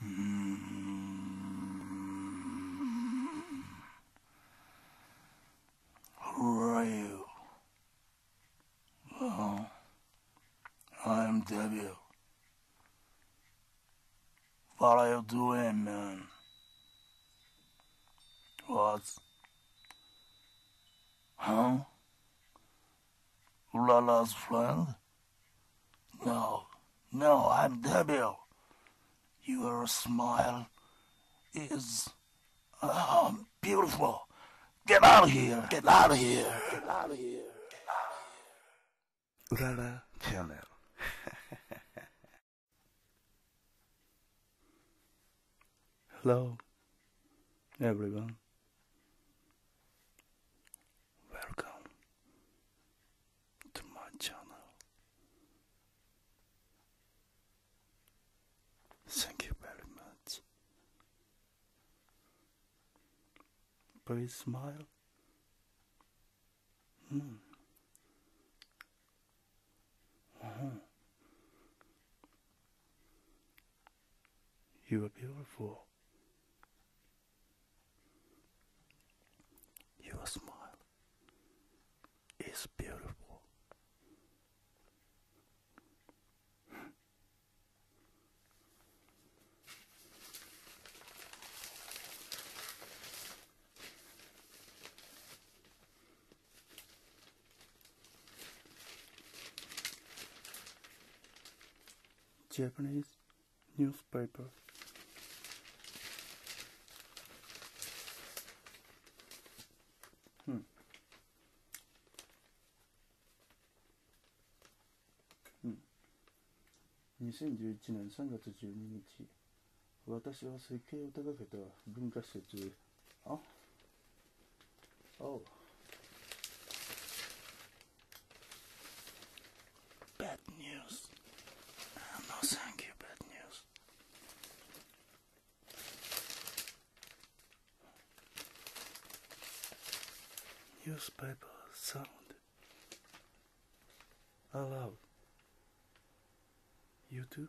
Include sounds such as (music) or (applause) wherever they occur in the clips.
Hmm. Who are you? Well, I am W. What are you doing, man? What? Huh? Lala's friend? No, no, I'm Debil. Your smile is oh, beautiful. Get out of here! Get out of here! Get out of here! Lala (laughs) Channel. Hello, everyone. Welcome to my channel. Thank you very much. Please smile. Hmm. Uh-huh. You are beautiful. Your smile is beautiful. Japanese newspaper. Hmm. Hmm. 2011年3月12日私は設計を手がけた文化施設あ Oh. Bad news. no, thank you, bad news. Newspaper sound. Allowed. You too?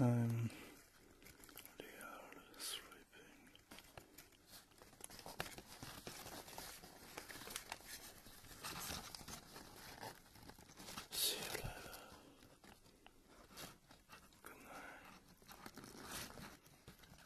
I'm hmm. really um, sleeping. See you later. Good night.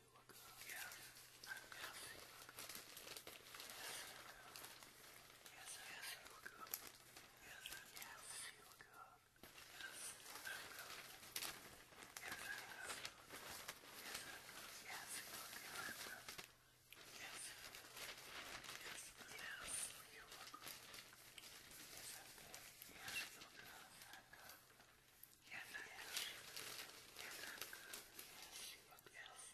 you look good. Yeah. I'm good. Yes, yes, you look good. Yes, yes, you look good. Yes, I'm good. Yes, I'm good. Yes, you look good. Yes, yes, yes, you look good. Yes, I'm good. Yes, you look good. I'm good. Yes, I'm good. Yes, I'm good. Yes, you look good.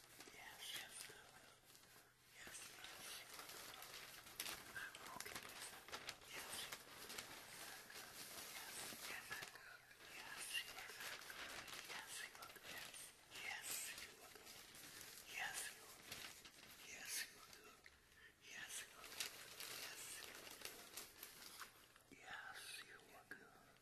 Yes, yes, I will. Yes, yes. I'm Yes. Yes, yes, I Yes, yes, I will. Yes, you will. Yes, you will. Yes, you will. Yes, you will. Yes, you will. Yes, you will. Yes, you will.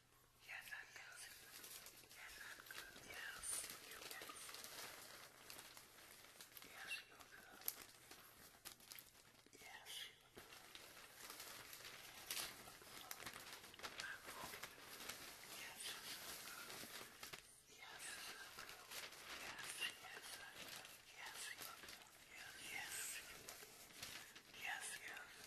Yes, I'm good. Yes, I'm good. Yes, you're good. Yes, you're good. Yes, you're good. I'm okay. Yes, I'm good. Yes, I'm good. Yes, yes, I'm good. Yes, you're good. Yes, yes, yes, yes.